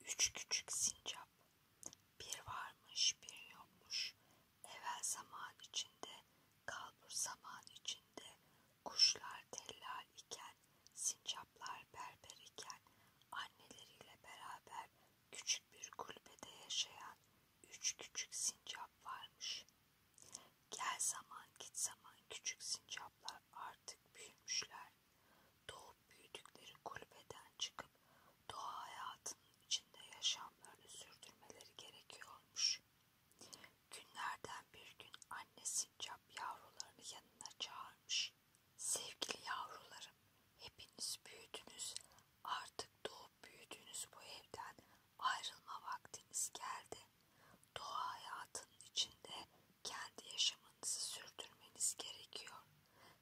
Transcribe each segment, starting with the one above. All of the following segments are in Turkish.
Üç küçük sincap, bir varmış bir yokmuş, evvel zaman içinde, kalbur zaman içinde, kuşlar tellal iken, sincaplar berber iken, anneleriyle beraber küçük bir kulübede yaşayan üç küçük sincap varmış. Gel zaman git zaman küçük sincaplar artık büyümüşler doğup büyüdükleri kulübeden çıkıp doğa hayatının içinde yaşamlarını sürdürmeleri gerekiyormuş. Günlerden bir gün anne sincap yavrularını yanına çağırmış. Sevgili yavrularım, hepiniz büyüdünüz. Artık doğup büyüdüğünüz bu evden ayrılma vaktiniz geldi. Doğa hayatının içinde kendi yaşamınızı sürdürmeniz gerekiyor.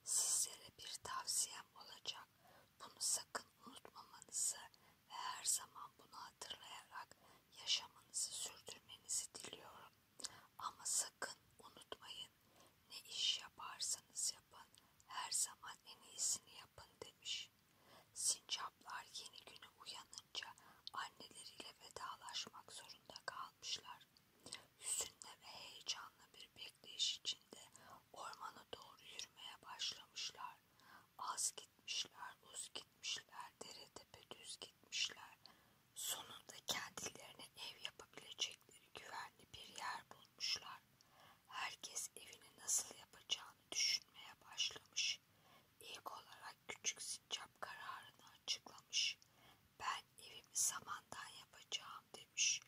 Sizlere bir tavsiyem olacak. Bunu sakın unutmamanızı ve her zaman bunu hatırlayarak yaşamınızı sürdürmenizi diliyorum. Ama sakın unutmayın ne iş yaparsanız yapın her zaman en iyisini yapın demiş. Sincaplar yeni güne uyanınca anneleriyle vedalaşmak zorunda kalmışlar. Hüzünle ve heyecanlı bir bekleyiş içinde ormana doğru yürümeye başlamışlar. Az gitmişler, uz gitmişler, dere tepe düz gitmişler. Sonunda kendilerine ev yapabilecekleri güvenli bir yer bulmuşlar. Herkes evini nasıl yapacağını düşünmeye başlamış. İlk olarak küçük sincap kararını açıklamış. Ben evimi samandan yapacağım demiş.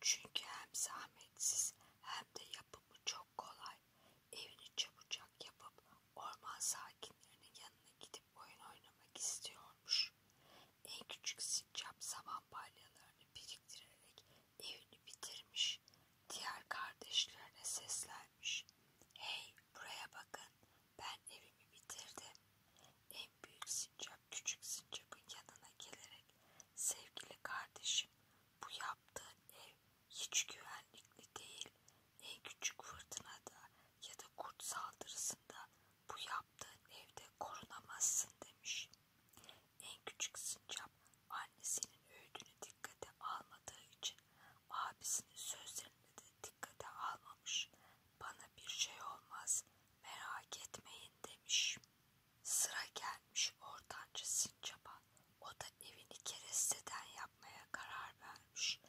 Çünkü hem zahmetsiz hem de yapımı çok kolay. Evini çabucak yapıp orman sakinlerinin yanına gidip oyun oynamak istiyormuş. En küçük sincap saman balyalarını biriktirerek evini bitirmiş. Diğer kardeşlerine seslenmiş. Hey buraya bakın ben evimi bitirdim. En büyük sincap küçük sincapın yanına gelerek sevgili kardeşim bu yaptığın ev hiç güvenlikli değil. En küçük fırtınada ya da kurt saldırısında bu yaptığın evde korunamazsın demiş. En küçük sincap annesinin öğüdünü dikkate almadığı için abisinin sözlerini de dikkate almamış. Bana bir şey olmaz merak etmeyin demiş. Sıra gelmiş ortancı sincaba. O da evini keresteden yapmaya karar vermiş.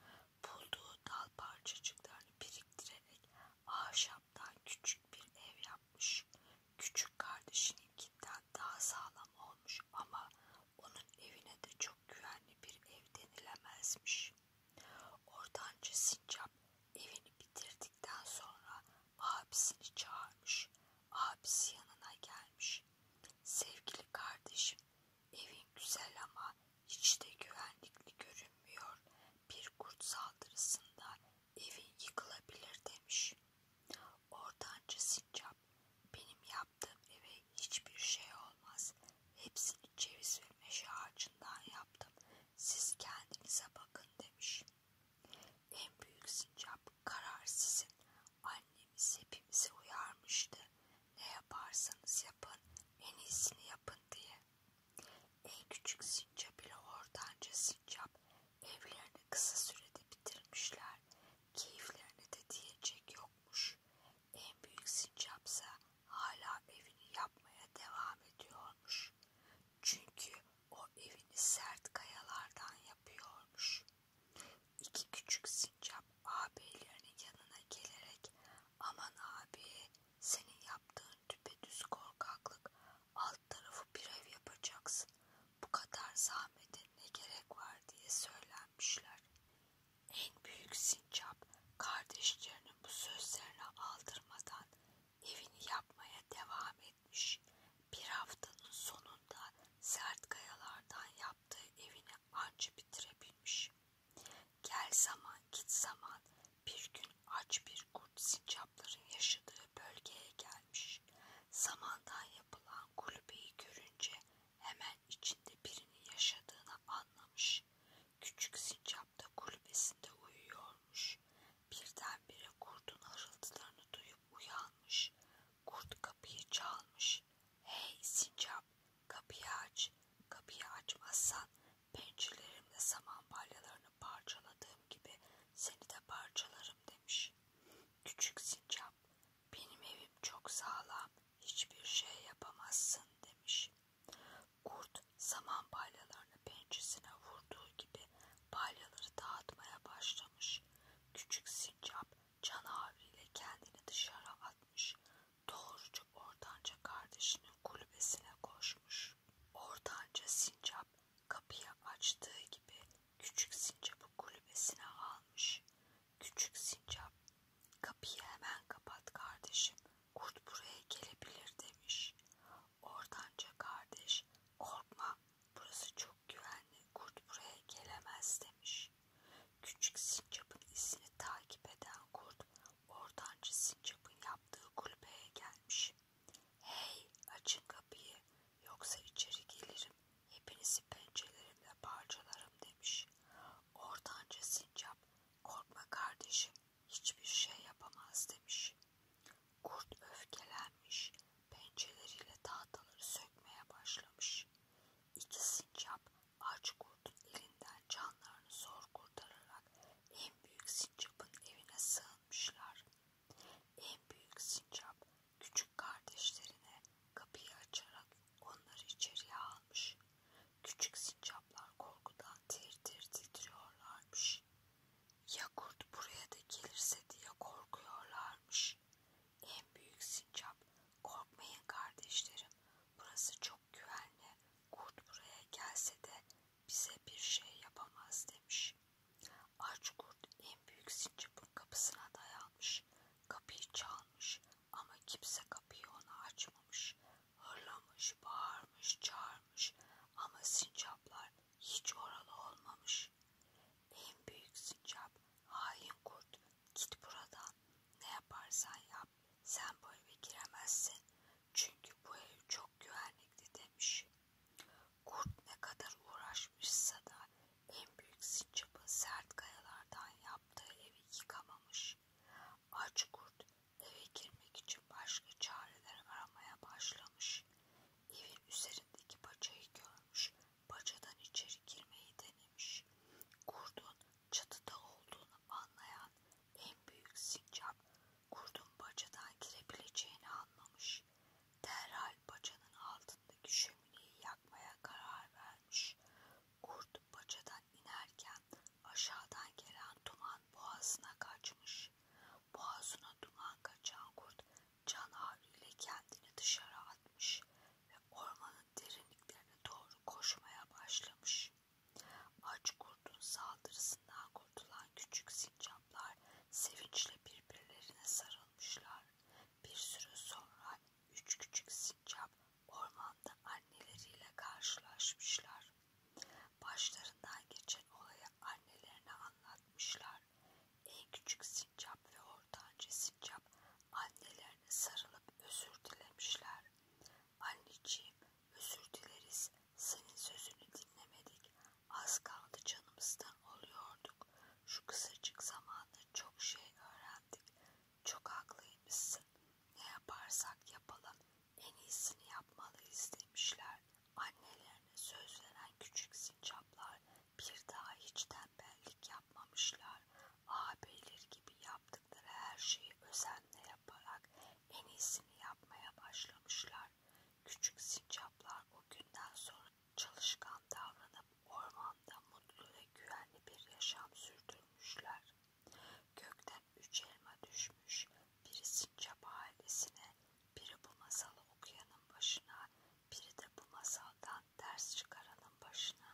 Bulduğu dal parçacıklarını biriktirerek ahşaptan küçük bir ev yapmış. Küçük kardeşininkinden daha sağlam olmuş ama onun evine de çok güvenli bir ev denilemezmiş. Ortancı sincap evini bitirdikten sonra abisini çağırmış. Abisi yanına gelmiş. Sevgili kardeşim evin güzel ama hiç de güvenlikli görünmüyor. Bir kurt saldırısında evin yıkılabilir demiş. Ortancı sincap yap. Benim yaptığım eve hiçbir şey olmaz. Hepsini ceviz ve meşe ağacından yaptım. Siz kendinize bakın demiş. En büyük sincap karar sizin. Annemiz hepimizi uyarmıştı. Ne yaparsanız yapın, en iyisini yapın diye. En küçük sincap ile ortanca sincap Evlerini kısa sürede bitirmişler. Keyiflerine de diyecek yokmuş. En büyük sincapsa hala evini yapmaya devam ediyormuş. Çünkü o evini sert kayalardan yapıyormuş. İki küçük sincap ağabeylerinin yanına gelerek aman abi senin yaptığın düpedüz korkaklık alt tarafı bir ev yapacaksın. Bu kadar zahmete ne gerek var diye söylenmişler. En büyük sincap kardeşlerinin bu sözlerine aldırmadan evini yapmaya devam etmiş. Bir haftanın sonunda sert kayalardan yaptığı evini anca bitirebilmiş. Gel zaman git zaman bir gün aç bir kurt sincapların yaşadığı bölgeye geldi gelmiş. Samandan yapılan kulübeyi görünce hemen içinde birinin yaşadığını anlamış. Küçük sincap da kulübesinde uyuyormuş. Birdenbire kurdun hırıltılarını duyup uyanmış. Kurt kapıyı çalmış. Hey sincap kapıyı aç. Kapıyı açmazsan pençelerimle saman balyalarını parçaladığım gibi seni de parçalarım demiş. Küçük sincap benim evim çok sağlam hiçbir şey yapamazsın demiş. Kurt saman palyalarını pençesine vurduğu gibi palyaları dağıtmaya başlamış. Küçük sincap can ağrıyla kendini dışarı atmış. Doğruca ortanca kardeşinin kulübesine koşmuş. Ortanca sincap Kapıyı açtığı gibi küçük sincapı kulübesine almış. Küçük sincap kapıyı hemen kapat kardeşim kurt buraya gelebilir demiş. Ortanca kardeş korkma burası çok güvenli kurt buraya gelemez demiş. Küçük sincapın izini takip eden kurt ortanca sincapın yaptığı kulübeye gelmiş. Hey açın kapıyı yoksa içeri gelirim hepinizi pençelerimle parçalarım demiş. Ortanca sincap korkma kardeşim hiçbir şey yapamaz demiş. Kurt öfkelenmiş pençeleriyle tahtaları sökmeye başlamış. İki sincap aç kurdun elinden canlarını zor kurtararak olan en büyük sincapın evine sığınmışlar. En büyük sincap küçük kardeşlerine kapıyı açarak onları içeriye almış. Küçük sincaplar korkudan tir tir titriyorlarmış. Ya kurt buraya da gelirse diye korkuyorlarmış. En büyük sincap korkmayın kardeşlerim burası çok güvenli. Kurt buraya gelse de bize bir şey yapamaz demiş. Aç kurt en büyük sincapın kapısına dayanmış. Kapıyı çalmış ama kimse kapıyı ona açmamış. Hırlamış, bağırmış, çağırmış ama sincaplar hiç oralı olmamış. En büyük sincap, hain kurt, git buradan. Ne yaparsan yap, sen bu eve giremezsin. Çünkü bu ev çok güvenlikli demiş. Kurt ne kadar uğraşmışsa da en büyük sincapın sert kayalardan yaptığı evi yıkamamış. Aç kurt eve girmek için başka çareler aramaya başlamış. Evin üzerindeki bacayı görmüş, bacadan içeri girmeyi denemiş. Kurdun çatıda olduğunu anlayan en büyük sincap kurdun bacadan girebileceğini anlamış. Derhal bacanın altındaki şömineyi yakmaya karar vermiş. Kurt bacadan inerken aşağıdan gelen duman boğazına kaçmış. Boğazına duman kaçan kurt can ile kendini dışarı atmış ve ormanın derinliklerine doğru koşmaya başlamış. Aç kurdun saldırısından kurtulan küçük sincaplar sevinçle birbirlerine sarılmışlar. Bir süre sonra üç küçük sincap ormanda anneleriyle karşılaşmışlar. Başlarından geçen olayı annelerine anlatmışlar. En küçük sincap ve ortanca sincap annelerine sarılıp özür dilemişler. Anneciğim özür dileriz. Senin sözünü dinlemedik. Az kaldı canımızdan oluyorduk. Şu kısacık zamanda çok şey öğrendik. Çok haklıymışsın. Ne yaparsak yapalım en iyisini yapmalıyız demişler. Annelerine söz veren küçük sincaplar bir daha hiç tembellik yapmamışlar ağabeyleri gibi yaptıkları her şeyi özenle yaparak en iyisini yapmaya başlamışlar. Küçük sincaplar o günden sonra çalışkan davranıp ormanda mutlu ve güvenli bir yaşam sürdürmüşler. Gökten üç elma düşmüş, biri sincap ailesine, biri bu masalı okuyanın başına, biri de bu masaldan ders çıkaranın başına.